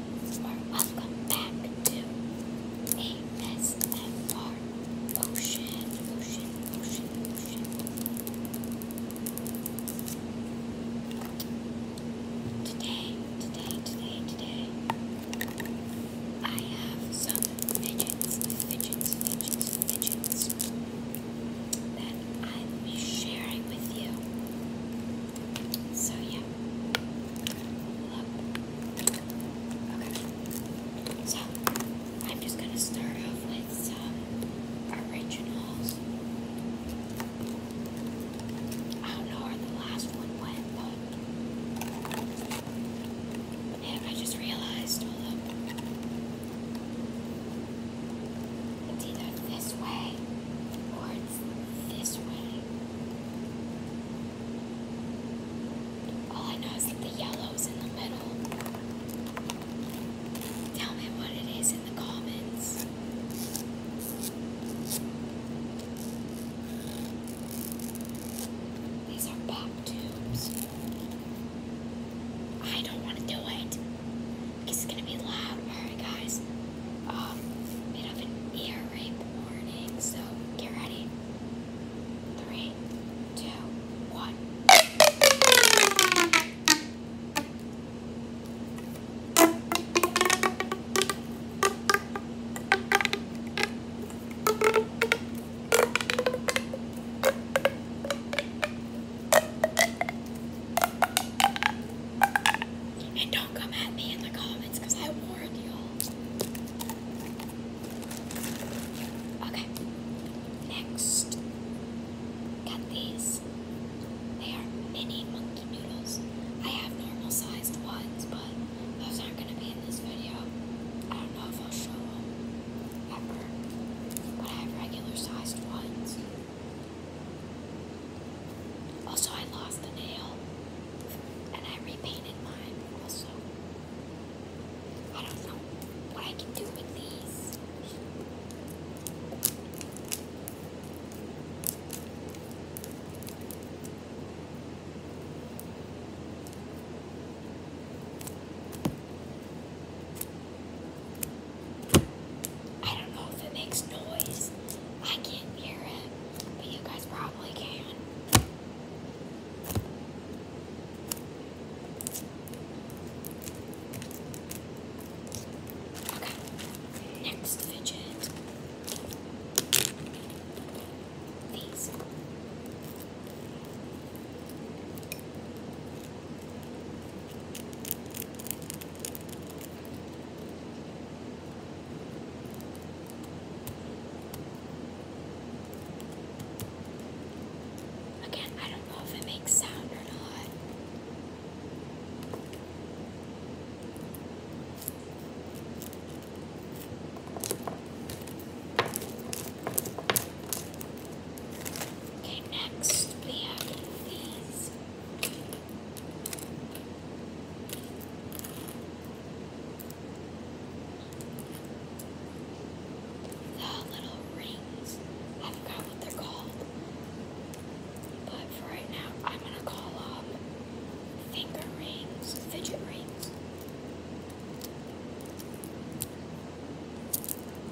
or welcome back to ASMR Ocean. Today, today, today, today, I have some fidgets, fidgets, fidgets, fidgets that I'll be sharing with you. So yeah. Okay. So I'm just gonna start off with some originals. I don't know where the last one went, man, I just realized hold up. this way this way. All I know is that the yellow's in the middle. Tell me what it is in the comments. These are pop tubes. I don't want to do it. It's gonna be loud. Alright, guys. Um, bit of an so get ready. Three, two, one. And don't come at me in the comments I warned you Okay, next. Got these. They are mini monkey noodles. I have normal sized ones, but those aren't going to be in this video. I don't know if I'll show them ever, but I have regular sized ones. Also, I lost the nail and I repainted mine also. I don't know what I can do with these. I don't know if it makes noise. I can't hear it, but you guys probably can. Okay, next fidget. These. Again, I don't know if it makes sound or not. Okay, next we have these. little rings. I forgot what they're called. But for right now, I'm gonna call them um, finger rings, fidget rings.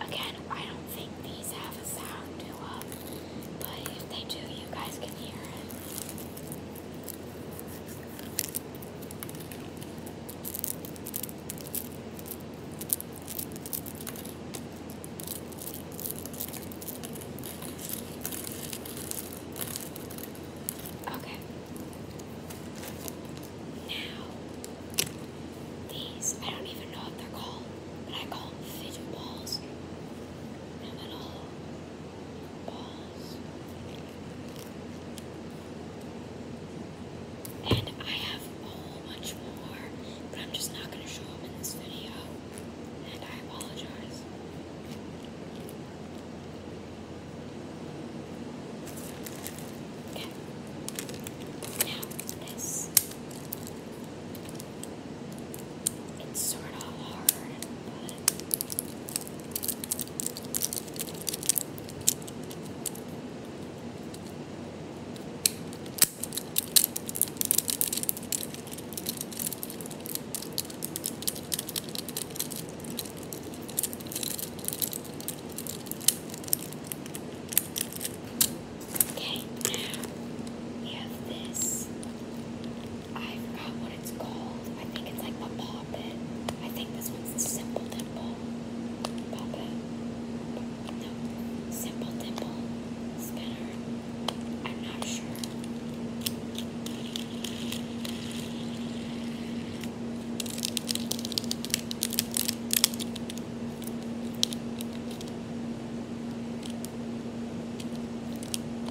Again, I don't think these have a sound to them, uh, but if they do, you guys can hear it. Okay. Now, these, I don't even know what they're called, but I call them fidget balls. They're little balls. And I have a whole more, but I'm just not going to show them in this video. And I apologize. Okay. Now this. It's sort of hard, but Okay, we have this. I forgot what it's called. I think it's like a poppet. I think this one's simple dimple. Poppet. No, simple dimple spinner. I'm not sure.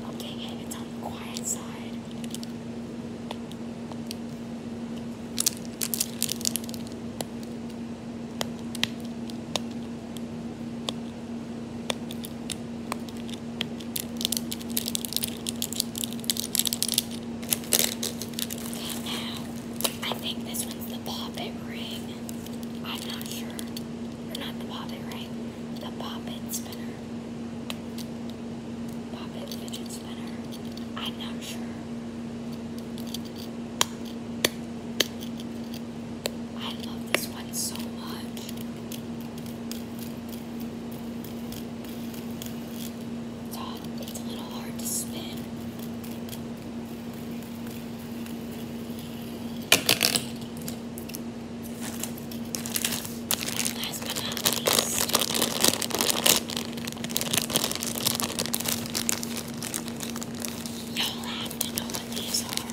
Okay, yeah, it's on the quiet side now, I think this one's the poppet ring. I'm not sure. not the poppet ring. The poppet spinner. Poppet fidget spinner. I'm not sure. I love this one so much. It's a little hard to spin. last but not least, y'all have to know what these are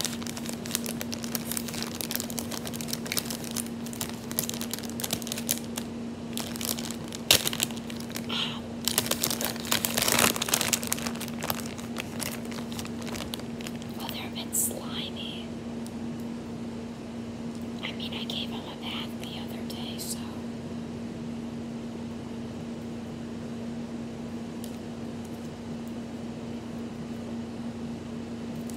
they're a bit slimy. I mean, I gave him a bath the other day, so.